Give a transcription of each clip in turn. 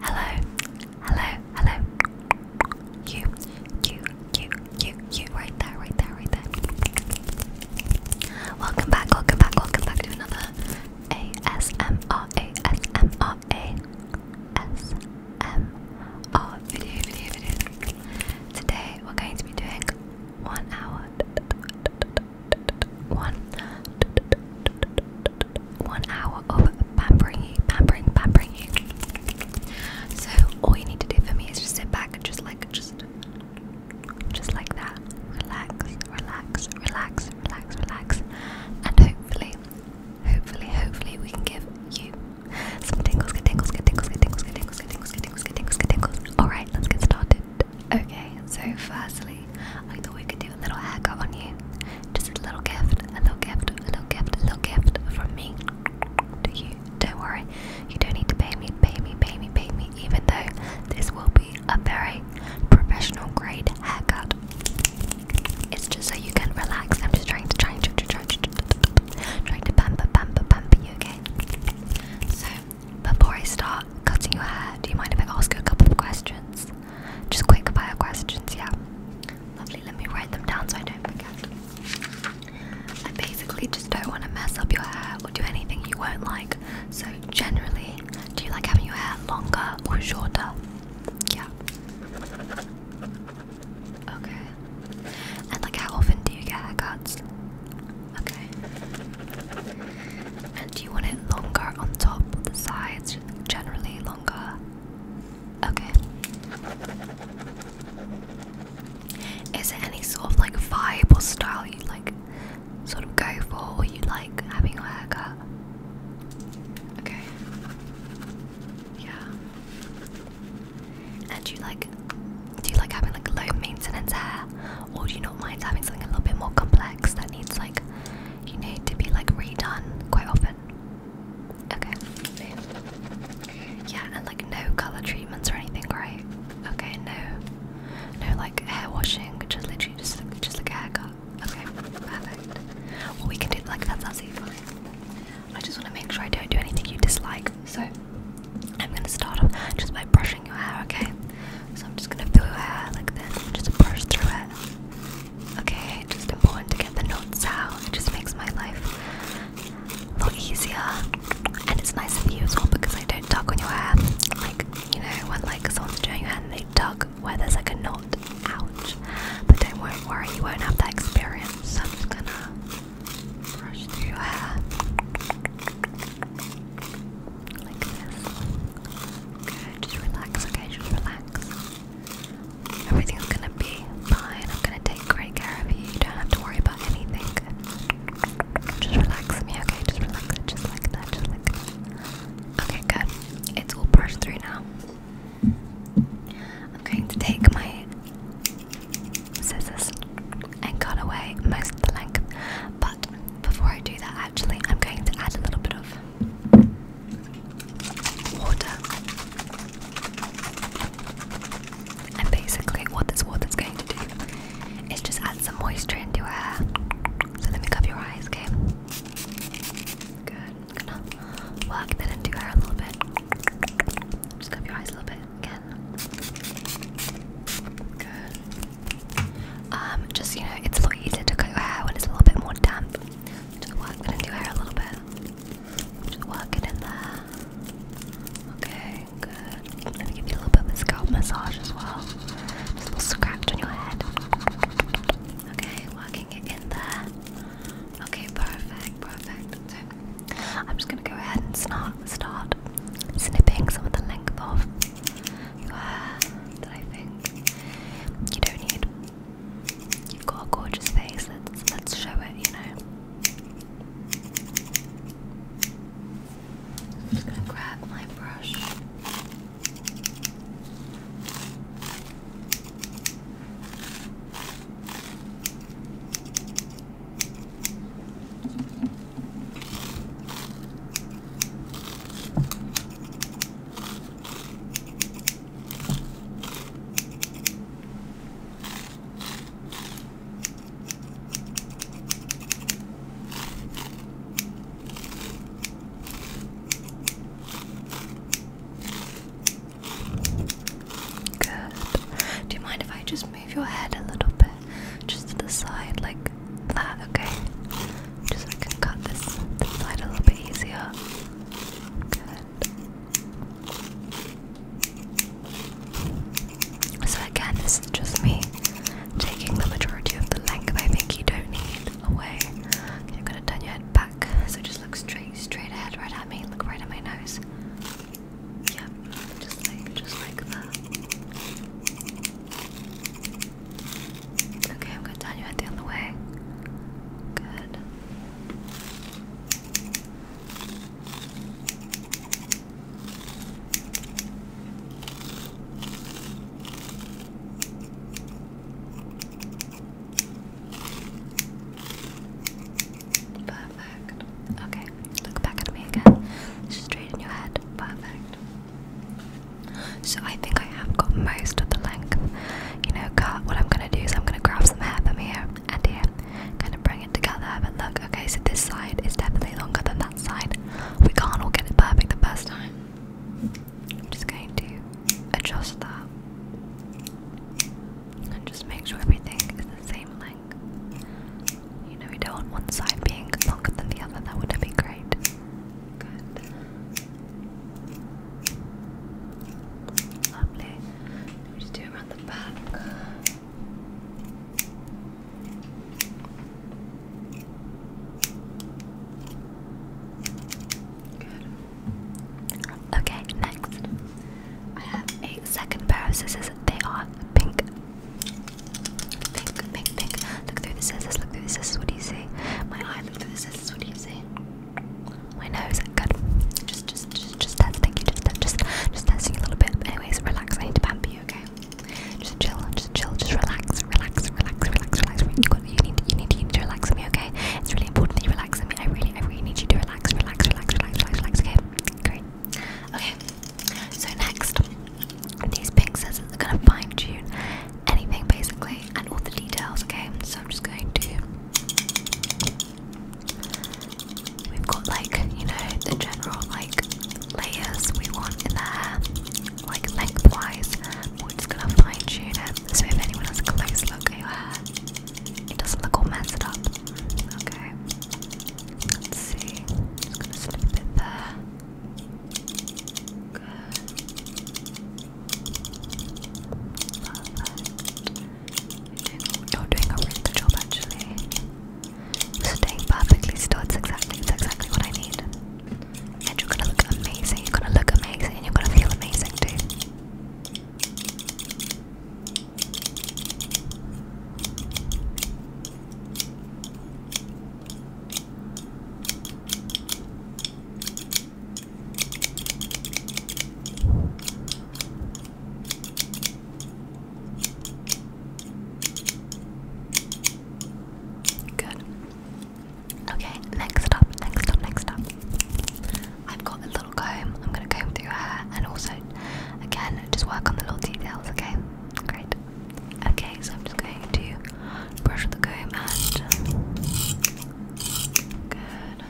Hello, hello, hello. You, you, you, you, you, right there, right there, right there. Welcome back, welcome back, welcome back to another ASMR, ASMR, ASMR video, video, video. Today we're going to be doing one hour, one one hour of pampering you, pampering, pampering you. So all you need to do for me is just sit back and just like just just like that. Relax, relax, relax, relax, relax. And hopefully, hopefully, hopefully we can give you some tingles, get tingles, get tingles, get tingles, get tingles, get tingles, get tingles, get tingles, get tingles. Alright, let's get started. Okay, so firstly I thought we could do a little haircut on you. Just a little gift, a little gift, a little gift, a little gift from me to you. Don't worry, you don't need to pay me, pay me, pay me, pay me, even though this will be a very professional grade haircut. It's just so you can relax. I'm just trying to try and try, try, try, trying to pamper, pamper, pamper you, okay? So, before I start cutting your hair, do you mind if I ask you a couple of questions? Just quick bio questions, yeah. Lovely, let me write them down so I don't forget. I basically just don't want to mess up your hair or do anything you won't like. So, generally, do you like having your hair longer or shorter? Yeah. Okay. And, like, how often do you get haircuts? Okay. And do you want it longer on top or the sides? Generally, longer. Okay. Is there any sort of like vibe or style you like sort of go for or you like having your haircut? Okay. Yeah. And do you like do you like having like low maintenance hair? Or do you not mind having something a little bit more complex that needs like you need to be like redone quite often? Okay. Yeah, and like no color treatments or anything, right? Okay, no, no like hair washing, just literally just like, just like a haircut. Okay, perfect. Well, we can do like that's absolutely fine. I just want to make sure I don't do anything you dislike, so I'm gonna start off just by brushing your hair. Okay, so I'm just gonna feel your hair like this, just brush through it. Okay, just important to get the notes out. It just makes my life a lot easier. And it's nice of you as well because I don't tug on your hair. Like, you know, when like someone's doing your hair and they tug where there's like a knot. Ouch. But don't worry, worry, you won't have that experience. So I'm just gonna brush through your hair. Like this. Good, just relax, okay, just relax. Everything's gonna be fine. I'm gonna take great care of you. You don't have to worry about anything. Just relax me, okay? Just relax. Just like that. Just like that. Okay, good. It's all brushed through now. I'm going to take my scissors and cut away most of the length. But before I do that, actually, I'm going to add a little bit of water. And basically, what this water's going to do is just add some moisture into your hair. So let me cover your eyes, okay? Good. I'm work that into your hair a little bit. Just cover your eyes a little bit again. Good. Um, just you know, it's a lot easier to cut your hair when it's a little bit more damp. Just walk in into your hair a little bit. Just walk it in there. Okay, good. I'm gonna give you a little bit of a scalp massage as well. Just a little scratch on your head. Okay, walking it in there. Okay, perfect, perfect. So, I'm just gonna go ahead and start, start snipping some of the length off your I think you don't need You've got a gorgeous face, let's let's show it, you know. just gonna grab my brush. Good. Do you mind if I just move your head a little bit? Just to the side, like that, okay? Just so I can cut this, side a little bit easier. Good. So again, this is just me taking the majority of the length I think you don't need away. Okay, you gonna turn your head back, so just look straight, straight ahead, right at me, look right at my nose. Yeah, just like, just like that. Okay, I'm gonna turn your head the other way. Good. Perfect. Okay, look back at me again. Straighten your head. Perfect. So I think I. I have got most of the length, you know, cut. What I'm gonna do is I'm gonna grab some hair from here and here, kind of bring it together. But look, okay, so this side is definitely longer than that side. We can't all get it perfect the first time. I'm just going to adjust that and just make sure everything is the same length. You know, we don't want one side being longer than the other, that wouldn't be great. Good. Lovely. Let me do around the back. Good. Okay, next. I have a second pair of scissors. They are pink. Pink, pink, pink. Look through the scissors, look through the scissors, what do you see? My eye, look through the scissors, what do you see? My nose, good. Just, just, just, just testing you, just, just, just testing you a little bit. Anyways, relax. I need to pamper you, okay? Just chill, just chill, just relax, relax, relax, relax, relax. You got, you need, you need, you need to relax me, okay? It's really important that you relax me. I really, I really need you to relax, relax, relax, relax, relax, relax. Okay, great. Okay. So next, these pink scissors are gonna fine tune anything basically and all the details. Okay, so I'm just going to We've got like, you know, the general like layers we want in there, like lengthwise. We're just gonna fine tune it. So if anyone has a close look at your hair, it doesn't look all messed up. Okay. Let's see. Just gonna slip it there. Good. You're doing a really good job actually. Staying perfectly still, exactly, exactly what I need. And you're gonna look amazing, you're gonna look amazing, and you're gonna feel amazing too. Good. Okay, next up, next up, next up. I've got a little comb. I'm going to comb through your hair and also, again, just work on the little details, okay? Great. Okay, so I'm just going to brush with the comb Good.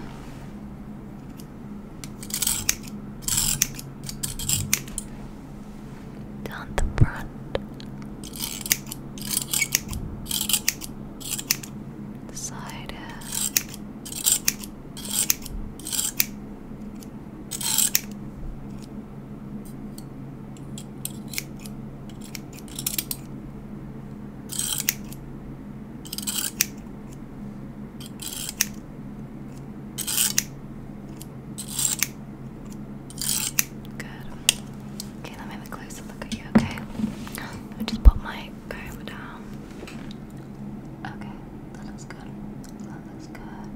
Down the front. The side. Good. Okay, let me have a closer look at you, okay? I'll just put my comb down. Okay, that looks good. That looks good.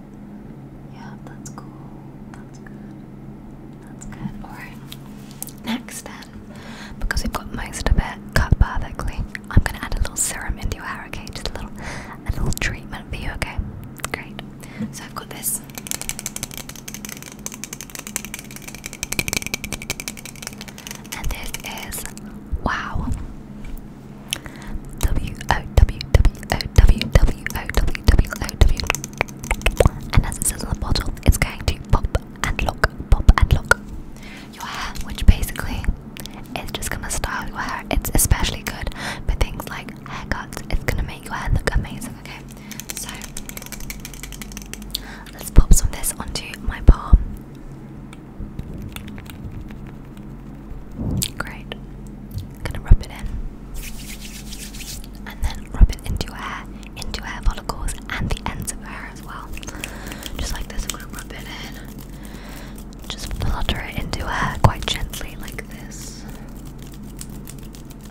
Yeah, that's cool. That's good. That's good. Alright. Next then, because we've got most of it cut perfectly, I'm gonna add a little serum into your hair, okay? Just a little, a little treatment for you, okay? Great. So I've got this. And this is wow. W O W W O W W O W W O W. And as it says on the bottle, it's going to pop and lock, pop and lock your hair, which basically is just gonna style your hair. It's especially good for things like haircuts. It's gonna make your hair look amazing. Okay, so let's pop some of this onto my palm. Great. gonna rub it in, and then rub it into your hair, into hair follicles, and the ends of your hair as well. Just like this, I'm gonna rub it in. Just flutter it into her uh, quite gently, like this.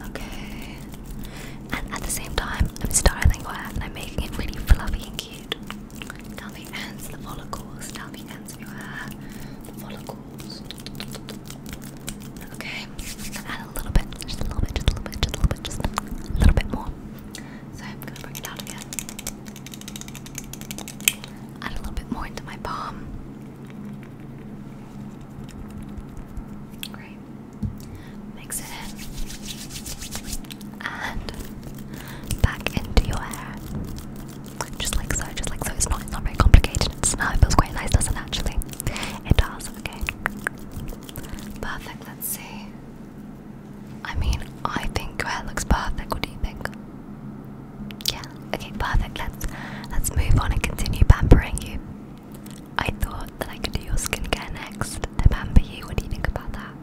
Okay. And at the same time, I'm styling her and I'm making it really fluffy and cute. Down the the follicles, down uh, the your hair, follicles. Okay, add a little bit, just a little bit, just a little bit, just a little bit, just a little bit more. So I'm gonna bring it out again. Add a little bit more into my palm. Great. Mix it in. And back into your hair. Just like so, just like so. It's not, it's not very complicated. It's not, it feels quite nice, doesn't it, actually? It does, okay. Perfect, let's see. I mean, I think your hair looks perfect. What do you think? Yeah. Okay. Perfect. Let's let's move on and continue pampering you. I thought that I could do your skincare next to pamper you. What do you think about that?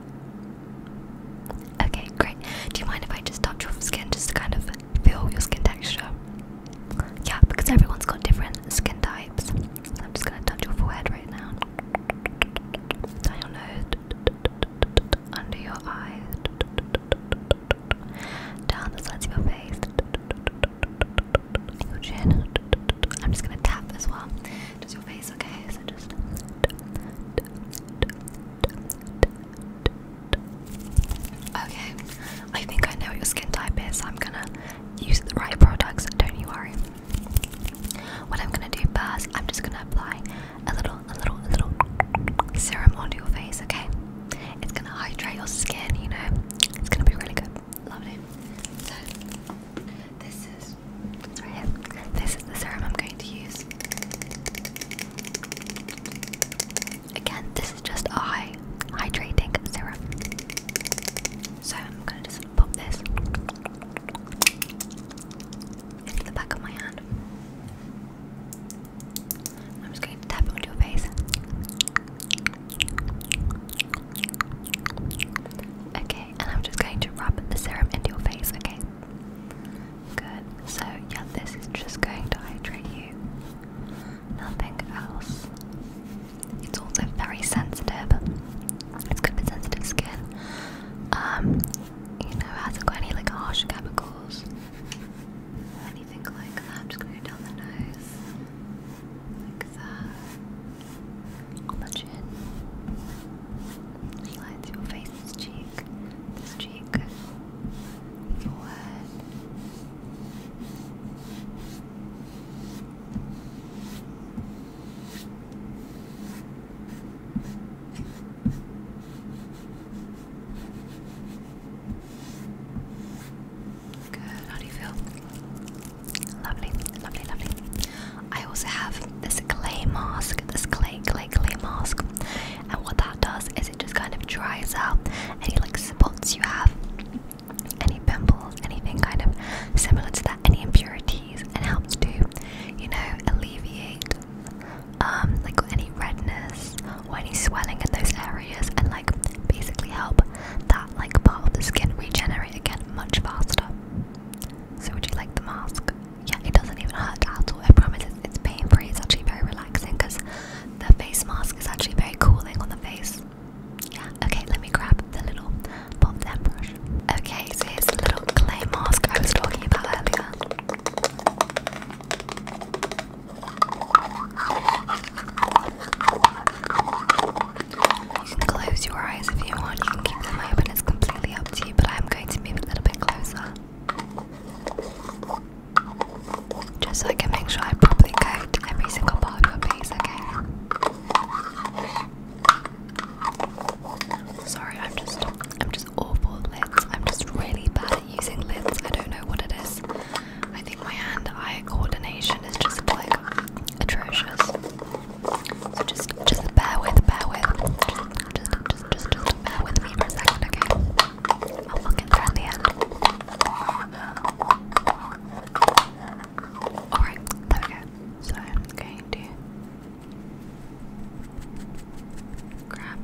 Okay. Great. Do you mind if I just touch your skin just to kind of feel your skin texture? Yeah, because everyone's got different skin types. I'm just gonna touch your forehead right now down your nose, under your eyes, down the sides of your face, your chin. I'm just gonna tap as well, just your face, okay? So just. Okay, I think I know what your skin type is. I'm gonna use the right products, don't you worry. What I'm gonna do first, I'm just gonna apply a little, a little, a little serum onto your face, okay? It's gonna hydrate your skin, you know? It's gonna be really good. Lovely. So, this is, right here. This is the serum I'm going to use. Again, this is just a hydrating serum. So I'm gonna do some pop this into the back of my hand. I'm just going to tap onto your face. Okay, and I'm just going to rub the serum into your face, okay? Good. So, yeah, this is just going to hydrate you. Nothing else. It's also very sensitive. It's good for sensitive skin um, you know, hasn't got any like harsh chemicals, anything like that. just going down the nose, like that, on the chin, slides your face, cheek, this cheek, forehead. Good, how do you feel? Lovely, lovely, lovely. I also have this clay mask, this clay, clay, clay mask. And what that does is it just kind of dries out any like spots you have, any pimples, anything kind of similar to that, any impurities and helps to, you know, alleviate um, like any redness or any swelling in those areas and like basically help that like part of the skin regenerate again much faster. So would you like the mask? Yeah, it doesn't even hurt at all. I promise it's pain-free. It's actually very relaxing because the face mask is actually very cooling on the face. Yeah, okay, let me grab the little Okay, so here's the little clay mask I was talking about earlier. You can close your eyes if you want, you can keep them open, it's completely up to you, but I'm going to move a little bit closer. Just so I can make sure I properly coat every single part of your face, Sorry, I'm just I'm just awful at lids. I'm just really bad at using lids. I don't know what it is. I think my hand-eye coordination is just like atrocious. So just just bear with, bear with. Just just just just, just bear with me for a second, okay? I'll look there at the end. Alright, there we go. So I'm going to Grab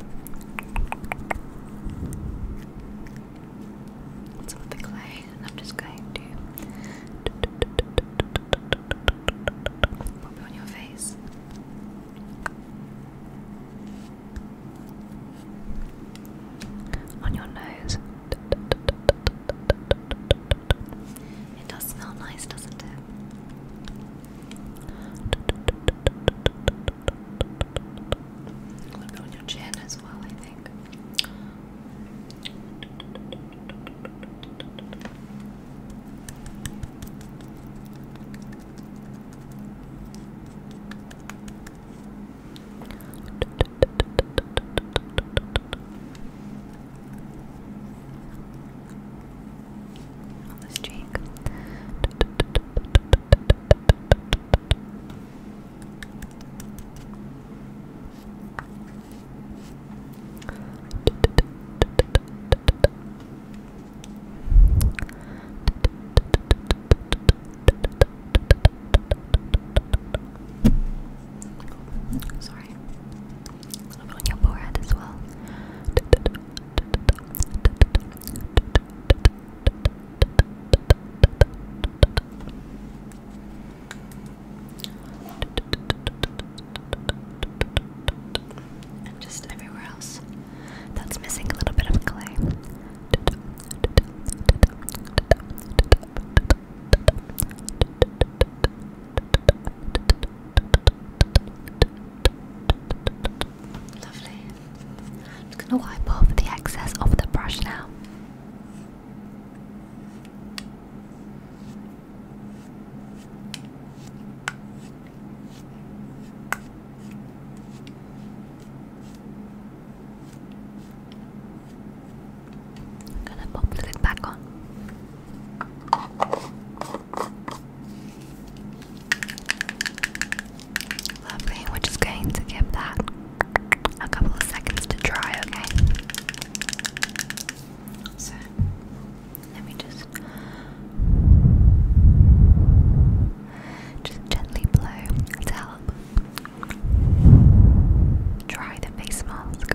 some of the clay, and I'm just going to pop it on your face. On your nose, it does smell nice, doesn't it? A little bit on your chin as well, I think on this cheek. Sorry on your forehead as well. And just everywhere else that's missing a little bit of clay. Lovely. I'm just going to wipe off the excess of the brush now. I'm gonna pop the back on. Lovely, we're just going to give that a couple of seconds to dry, okay? So, let me just just gently blow to help dry the face mask.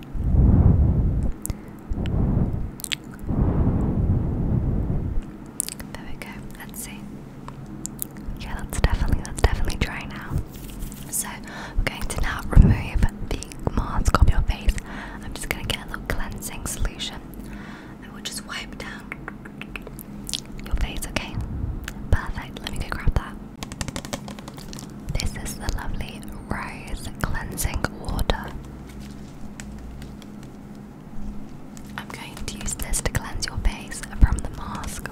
There we go. Let's see. Yeah, that's definitely that's definitely dry now. So we're going to now remove the mask off your face. I'm just gonna get a little cleansing solution and we'll just wipe down your face, okay? Perfect, let me go grab that. This is the lovely Rose Cleansing Water. I'm going to use this to cleanse your face from the mask,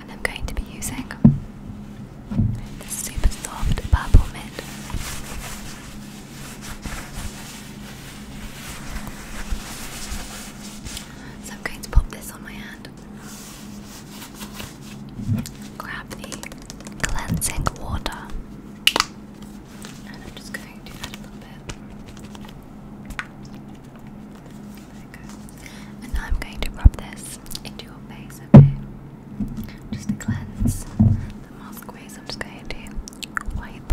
and I'm going to be using the super soft purple mint. So I'm going to pop this on my hand grab the cleansing water. And I'm just going to add a little bit. There we go. And I'm going to rub this into your face, okay? Just to cleanse the mask Ways I'm just going to wipe,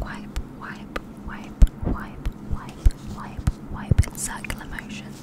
wipe, wipe, wipe, wipe, wipe, wipe, wipe in circular motions.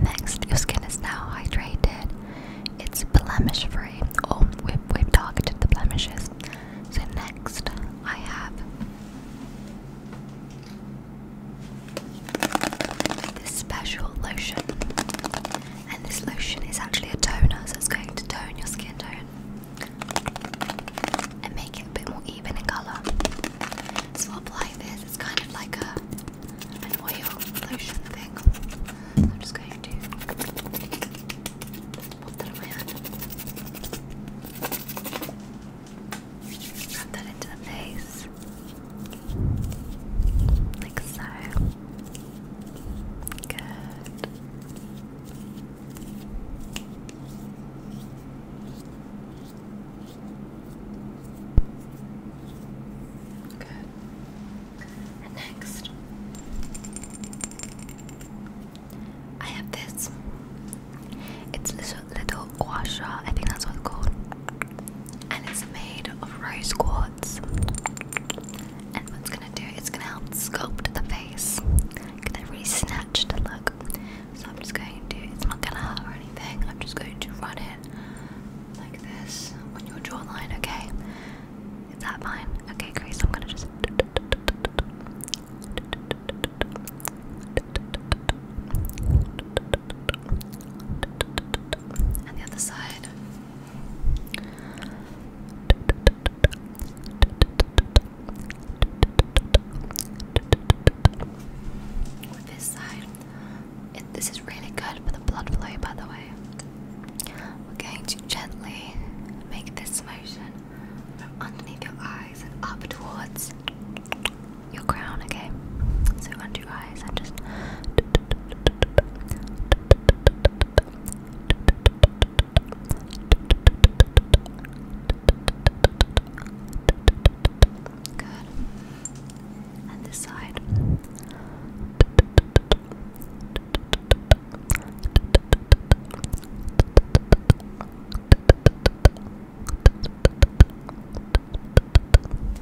Next, your skin is now hydrated. It's blemish free. Oh, we've, we've targeted the blemishes. So, next, I have this special lotion. And this lotion is actually a toner, so it's going to tone your skin tone and make it a bit more even in colour. So I'll apply this, it's kind of like a an oil lotion thing. I'm just going to pop that on my hand. Rub that into the face. Like so. Good. Good. next, I have this. It's little, little gua I think that's what it's called. And it's made of rose quartz. And what's gonna do? It's gonna help sculpt the face. Get that really snatched look. So I'm just going to, it's not gonna hurt or anything, I'm just going to run it like this on your jawline, okay? Is that fine? Okay, great, I'm gonna just. And the other side. With this side, this is really good for the blood flow, by the way. We're going to gently make this motion from underneath your eyes and up towards your crown, okay? So, under your eyes, and just. Good. And the side.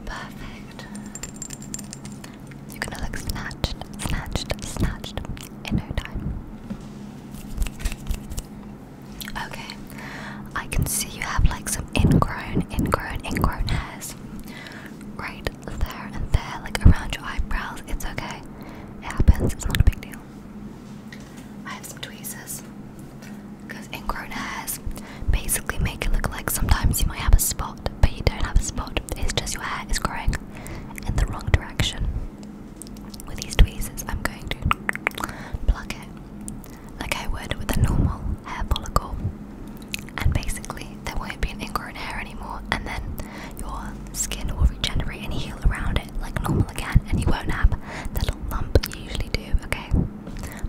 Perfect. You're gonna look snatched, snatched, snatched in no time. Okay, I can see you have like some ingrown, ingrown, ingrown hairs right there and there, like around your eyebrows. It's okay, it happens, it's not a big deal. I have some tweezers because ingrown hairs basically make it look like sometimes you might have a spot, but you don't have a spot, it's just your hair is growing in the wrong direction with these tweezers, I'm going to pluck it like I would with a normal hair follicle, and basically there won't be an ingrown hair anymore, and then your skin will regenerate and heal around it like normal again, and you won't have that little lump you usually do. Okay,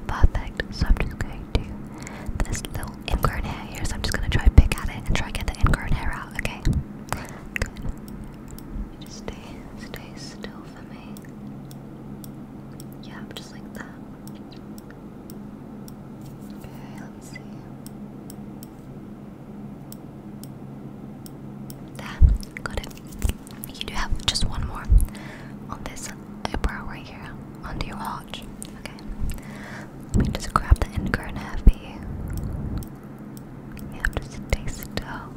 perfect. So I'm just going to this little ingrown hair here, so I'm just going to try pick at it and try get the ingrown hair out. Okay, just stay, stay still for me. Yeah, just like that. Okay, let's see. There, got it. You do have just one more on this eyebrow right here, under your arch. Okay. Let me just grab the end corner for you. You stay still.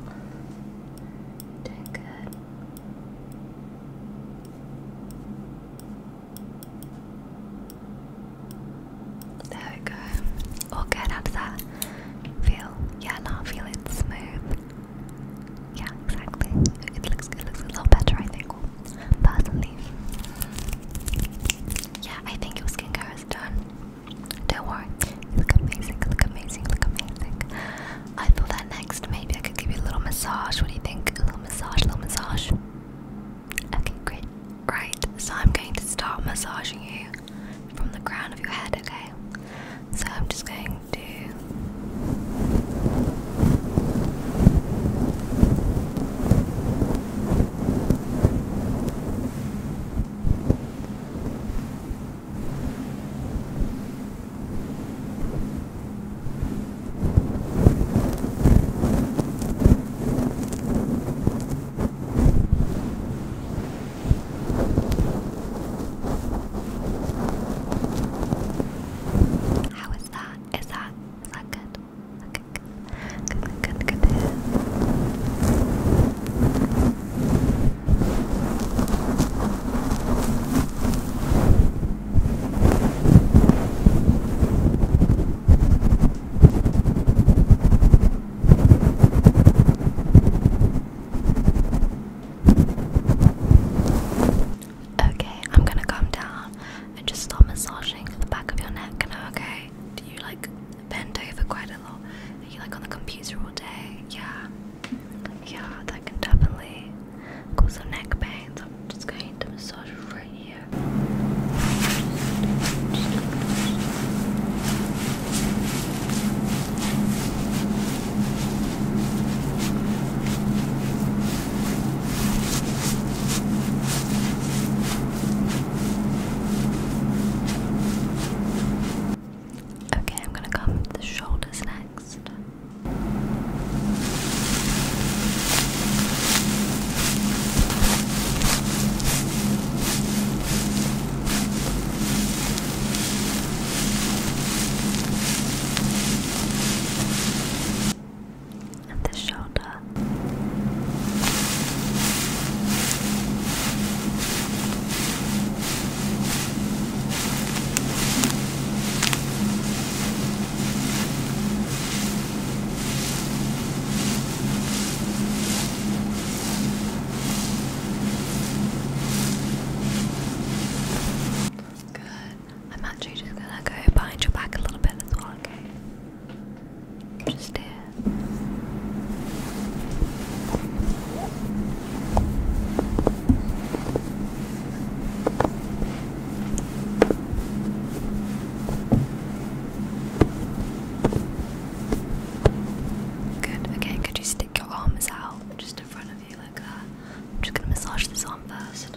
Doing good. There we go. All good. How that feel? Yeah, now feel it smooth. Yeah, exactly. It looks good. Looks a lot better, I think. Personally, yeah, I think your skincare is done. Don't worry, look amazing, look amazing, look amazing. I thought that next maybe I could give you a little massage. What do you think? A little massage, a little massage. Okay, great. Right, so I'm going to start massaging you from the crown of your head, okay? So I'm just going to. How is that? Is that is that good? good, good, good. good. Okay, I'm gonna calm down and just start massaging the back of your neck now, okay? Do you like bend over quite a lot. Are you like on the computer all day? Yeah. Yeah, that can definitely cause some neck pains. I'm just going to massage right here. Okay, I'm gonna come to the shoulders next. And the shoulder. Good. I'm actually just gonna go behind your back a little bit as well, okay? Just here. Good, okay, could you stick your arms out just in front of you like that? I'm just gonna massage this arm first.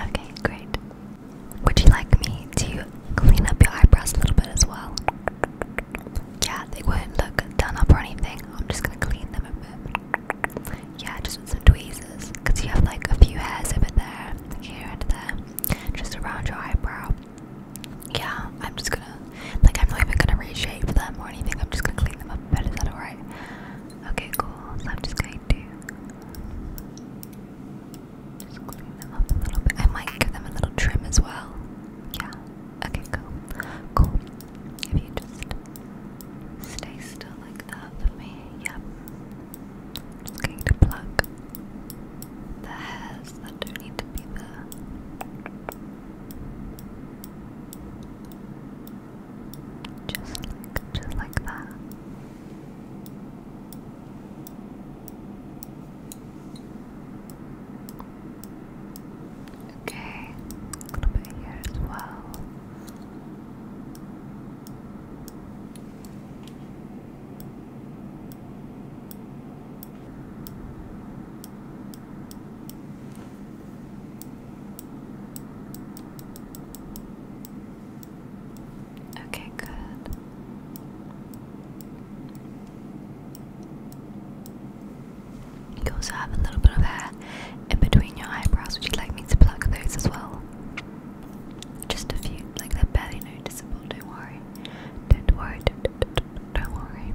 Okay, great. Would you like me to clean up your eyebrows a little bit as well? Yeah, they would not look done up or anything. I'm just gonna clean them a bit. Yeah, just with some tweezers. Because you have like a few hairs over there, here and there, just around your eyebrow yeah, I'm just gonna, like, I'm not even gonna reshape them or anything. I'm just gonna clean them up a bit. Is that alright? Okay, cool. So I'm just going to do just clean them up a little bit. I might give them a little trim as well. Yeah. Okay, cool. Cool. If you just stay still like that for me, yeah. just going to pluck the hairs that don't need to be there. Just like, just like that. Okay, a little bit here as well. Okay, good. You also have a little bit of hair in between your eyebrows. Would you like me to pluck those as well? Just a few, like they're barely noticeable. Don't worry. Don't worry. don't worry.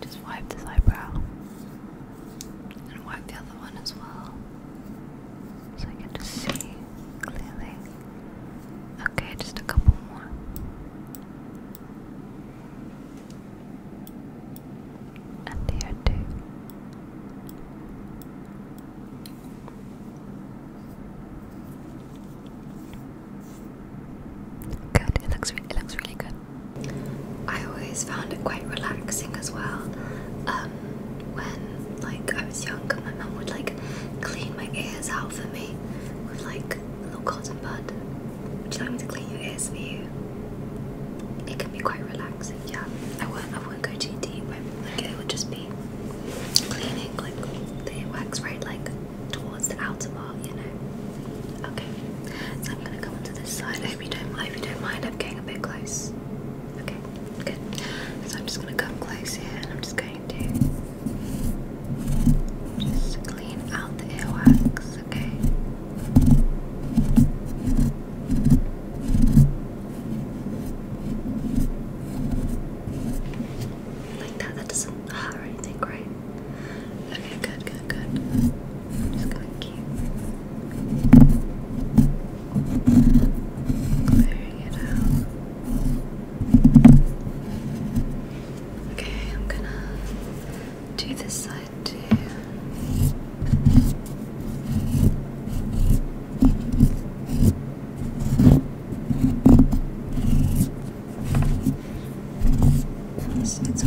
Just wipe this eyebrow and wipe the other one as well so I can just see clearly. Okay, just a couple more. And here too. Good. It looks it looks really good. I always found it quite relaxing as well. Um, when like I was young, my mum would like clean my ears out for me with like a little cotton bud. Would you like me to clean your ears for you? It can be quite relaxing. Yeah, I won't. I won't go too deep. but like it will just be cleaning like the wax right like towards the outer wall, you know. Okay, so I'm gonna come into this side. I hope you don't mind. If you don't mind, I'm getting a bit close. Okay, good. So I'm just gonna come close here, and I'm just going to just clean out the earwax. Okay. Okay. Like that, that doesn't hurt or anything, right? Okay, good, good, good. I'm just gonna keep clearing it out. Okay, I'm gonna do this side too. It's, it's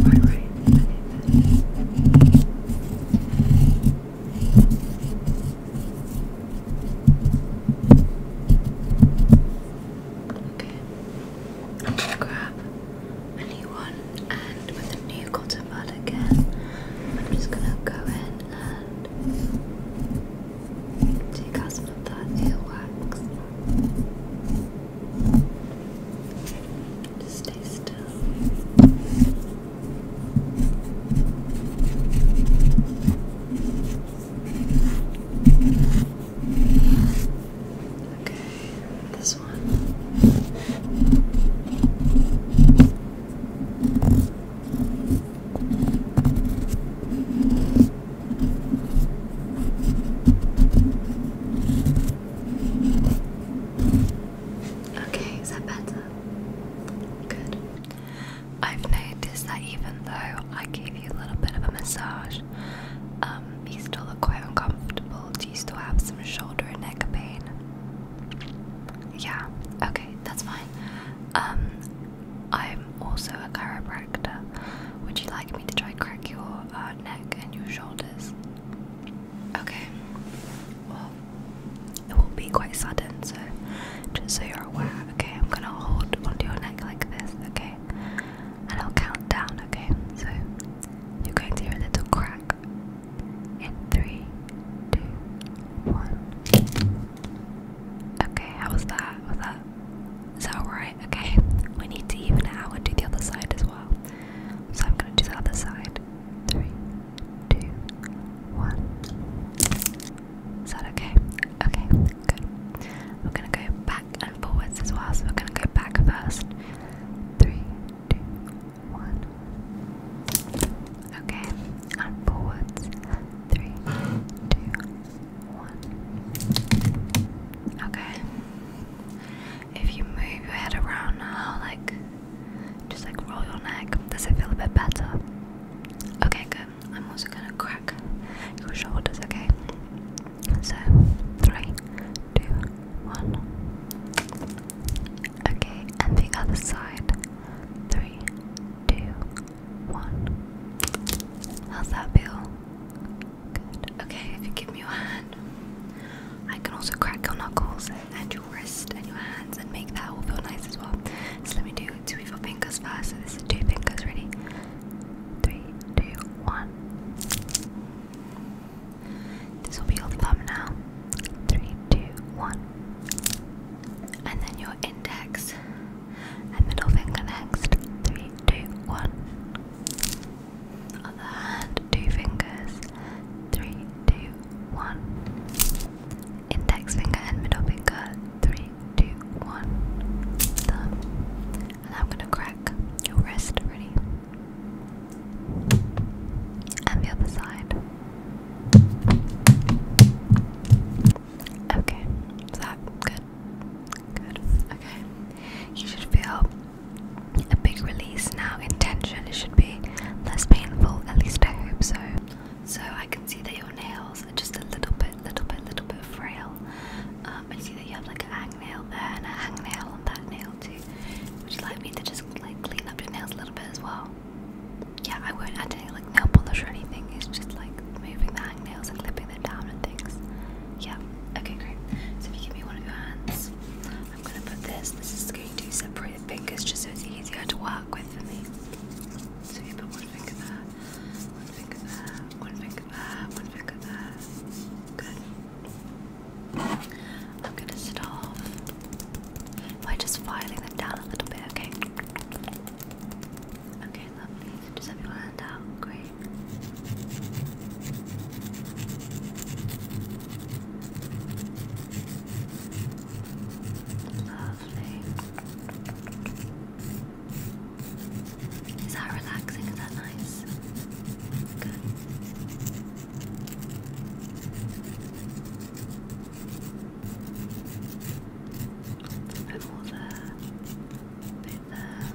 Okay, grab a new one and with a new cotton bud again, I'm just gonna go in and take us with the earwax. Just stay still. Okay, this one. Okay, is that better? Good. I've noticed that even though I gave you a little bit of a massage, um, you still look quite uncomfortable. Do you still have some shoulder and neck pain? Yeah, okay, that's fine. Um, I'm also a chiropractor. Would you like me to try crack your uh, neck and your shoulders? Okay. Well, it will be quite sudden, so just so you're aware. Okay, I'm gonna hold onto your neck like this. Okay, and I'll count down. Okay, so you're going to hear a little crack in three, two, one. Okay, how was that? Was that is that alright? Okay, we need to even it out and do the other side as well. So I'm gonna do the other side. Three, two, one. Is that okay? Okay, good. We're gonna go back and forwards as well, so we're gonna go back first. Three, two, one. Okay, and Okay. If you move your head around now, like just like roll your neck, does it feel a bit better? Okay, good. I'm also gonna crack your shoulders, okay? So, three, two, one. Okay, and the other side. Three, two, one. How's that feel? Good. Okay, if you give me your hand, I can also crack your knuckles and your wrist and your hands and make that all feel nice as well. So let me do two of your fingers first. So this is two fingers, ready? Three, two, one. This will be your thumb now. Three, two, one and then your index and middle finger next. Three, two, one. Other hand, two fingers. Three, two, one. Index finger and middle finger. Three, two, one. Done. And I'm gonna crack your wrist. Ready? And the other side. Okay, good? Good. Okay, you should feel a big release now Intention. It should be less painful. At least I hope so. So I can see that your nails are just a little bit, little bit, little bit frail. Um, I see that you have like a hang nail there and a hang nail on that nail too. Would you like me to just like clean up your nails a little bit as well? yeah, I won't add any like nail polish or anything. It's just like moving the nails and clipping them down and things. Yeah. Okay, great. So if you give me one of your hands, I'm gonna put this. This is going to separate the fingers just so it's easier to work with for me. So you put one finger there, one finger there, one finger there, one finger there. Good. I'm gonna sit off by just filing them down a little bit, okay? Okay, lovely. just have your hand out. Great. Lovely. Is that relaxing? Is that nice? Good. A bit more there, a bit there.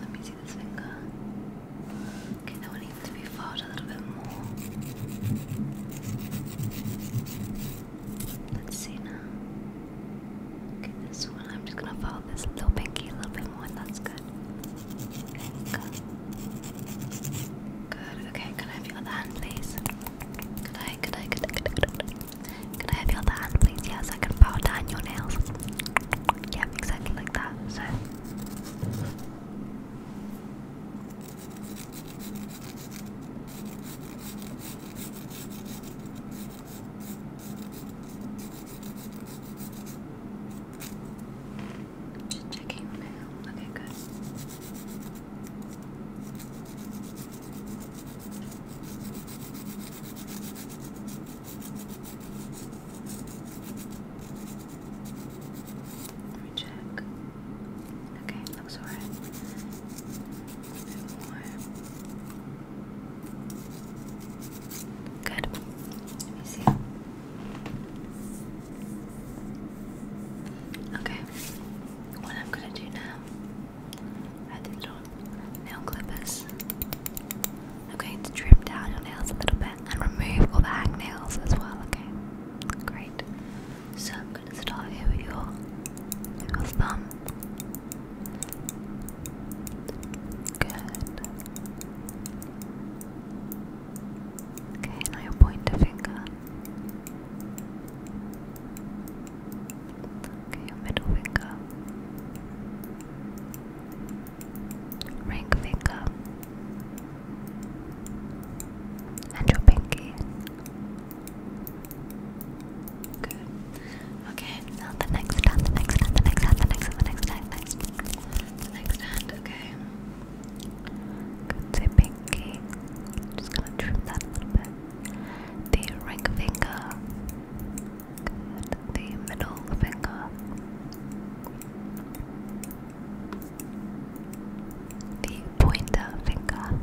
let me see this finger. Okay, that one needs to be filed a little bit more. Let's see now. Okay, this one, I'm just gonna file this little pinky a little bit more, that's good. Finger. Good, Okay, can I have your other hand, please? Could I, could I, could I, could I, could I, have your hand, please? Yes, I can bow down your nails. Yeah, exactly like that. So. Just checking now. Okay, good. Let me check. Okay, looks alright. A bit more. Good. Let me see. Okay, what I'm gonna do now, I did it nail clippers. I'm going to trim down your nails a little bit and remove all the hangnails as well, okay? Great. So I'm gonna start here with your thumb. Good. Okay, now you point the finger. Okay, your middle finger. Ring finger. And your pinky. Good. Okay, now the next hand, the next hand, the next hand, the next hand, the next hand. The next hand, okay. Good pinky. Just gonna trim that a little bit. The ring finger. The middle finger. The pointer finger.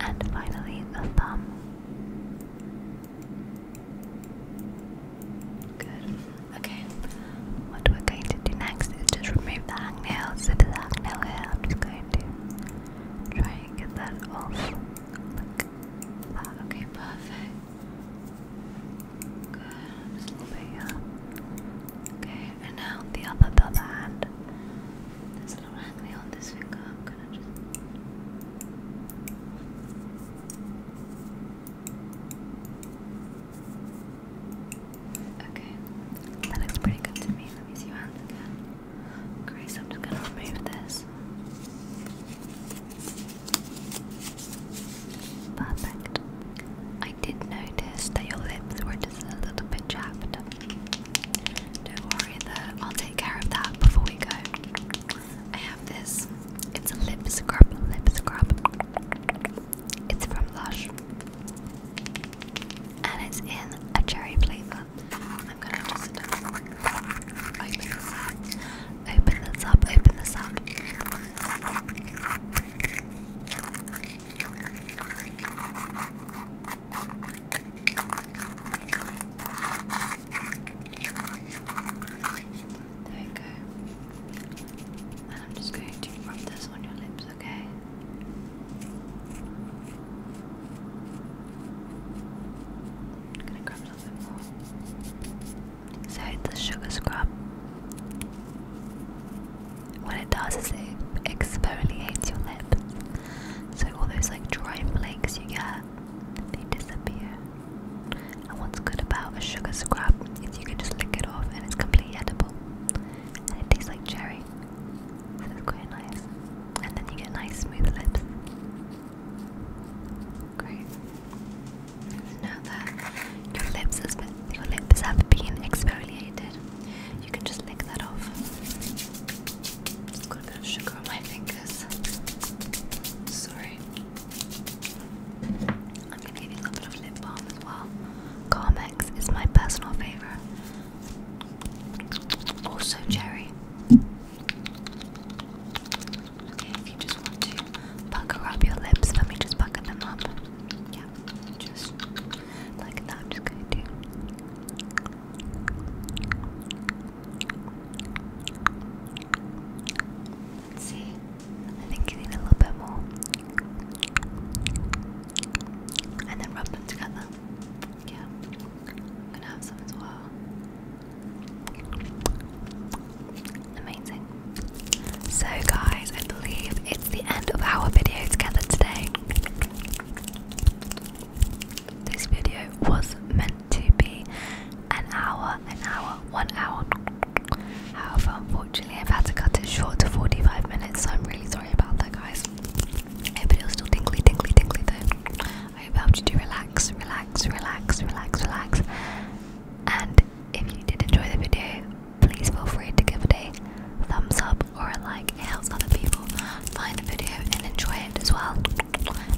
And finally, the thumb. Good. Okay. What we're going to do next is just remove the hangnail. So the hangnail here, I'm just going to try and get that off. Ah, okay, perfect. Good. Okay, and now the other, other hand. There's a little hangnail on this finger. I'm gonna just. Okay, that looks pretty good to me. Let me see Grace, I'm just gonna remove this. Perfect. I did notice that your lips were just a little bit chapped. Don't worry though, I'll take care of that before we go. I have this. It's a lip scrub, lip scrub. It's from Lush. And it's in a cherry flavor. I'm gonna um, Open this up, open this up. There we go. I'm just going to rub this on your lips, okay? I'm gonna grab a bit more. So the sugar scrub, what it does is it exfoliates your lip. So all those like dry flakes you get, they disappear. And what's good about a sugar scrap is you can just lick it off and it's completely edible. And it tastes like cherry. So it's quite nice. And then you get nice smooth lips. Great. Now that your lips have been exfoliated, you can just lick that off. got a bit of sugar on my fingers. Sorry. I'm gonna give you a little bit of lip balm as well. Carmex is my personal favorite. Also cherry. if you just want to pucker up your lips, let me just pucker them up. Yeah, just like that. I'm just gonna do. Let's see, I think you need a little bit more. And then rub them together. Yeah, I'm gonna have some as well. Amazing. So, guys, I believe it's the end of our video together today. This video was meant to be an hour, an hour, one hour. However, unfortunately, I've had to cut it short to 45 minutes, so I'm really sorry about that, guys. I hope it was still tingly, tingly, tingly, though. I hope it helped you to relax, relax, relax, relax, relax. And if you did enjoy the video, please feel free to give it a thumbs up or a like. It helps other people find the video and enjoy it as well.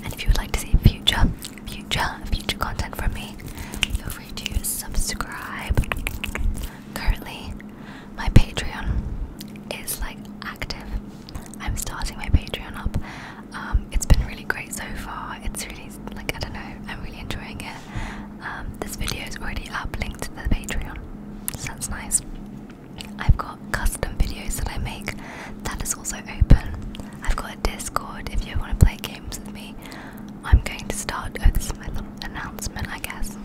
And if you would like to see future, future, future content from me, feel to subscribe. Currently, my Patreon is like active. I'm starting my Patreon up. Um, it's been really great so far. It's really like I don't know. I'm really enjoying it. Um, this video is already up, linked to the Patreon, so that's nice. I've got custom videos that I make. That is also open. I've got a Discord if you want to play games with me. I'm going to start. Oh, this is my little announcement, I guess.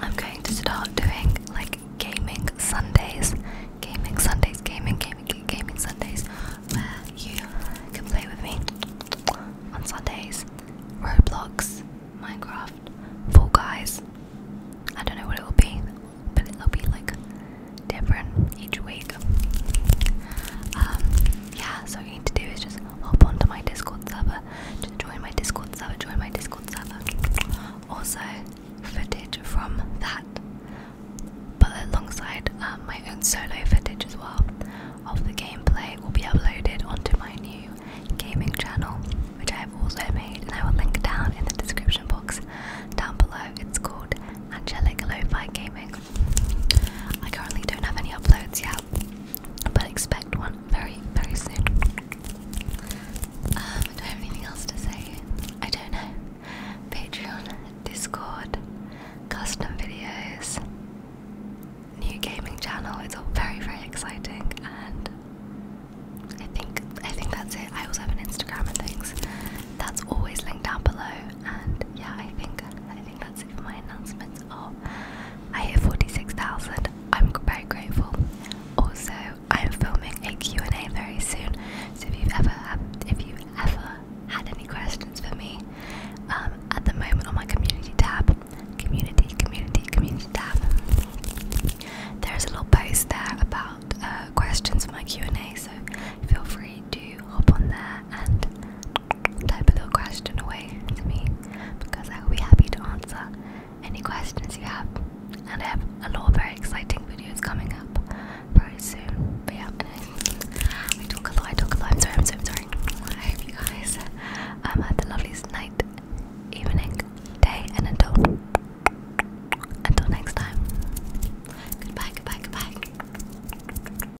I'm going to start doing like gaming Sundays, gaming Sundays, gaming, gaming, gaming Sundays, where you can play with me on Sundays. Roblox, Minecraft, Fall Guys. I don't know what it will be, but it'll be like different each week. Um, yeah, so to do is just hop onto my Discord server. Just join my Discord server, join my Discord server. Also, footage from that, but alongside um, my own solo footage as well of the gameplay, will be uploaded onto my new gaming channel, which I have also made, and I will link down in the description box down below. It's called Angelic Lo-Fi Gaming. I currently don't have any uploads yet, but expect one very, very soon. Um, do I have anything else to say? I don't know. Patreon, Discord, custom videos, new gaming channel. It's all very, very exciting, and I think I think that's it. I also have an Instagram and things. That's always linked down below, and yeah, I think I think that's my announcements are. I hit 46,000. I'm very grateful. Also, I am filming a Q&A very soon. So if you've ever had, if you've ever had any questions for me, um, at the moment on my community tab, community, community, community tab, there is a little post there about uh, questions for my Q&A. So feel free to hop on there and type a little question away to me because I will be happy to answer any questions you have. And I have a lot of very exciting videos coming up very soon. But yeah, anyway, I talk a lot, talk a lot. am sorry, I'm so sorry. I hope you guys um, the loveliest night, evening, day, and until until next time. Goodbye, goodbye, goodbye.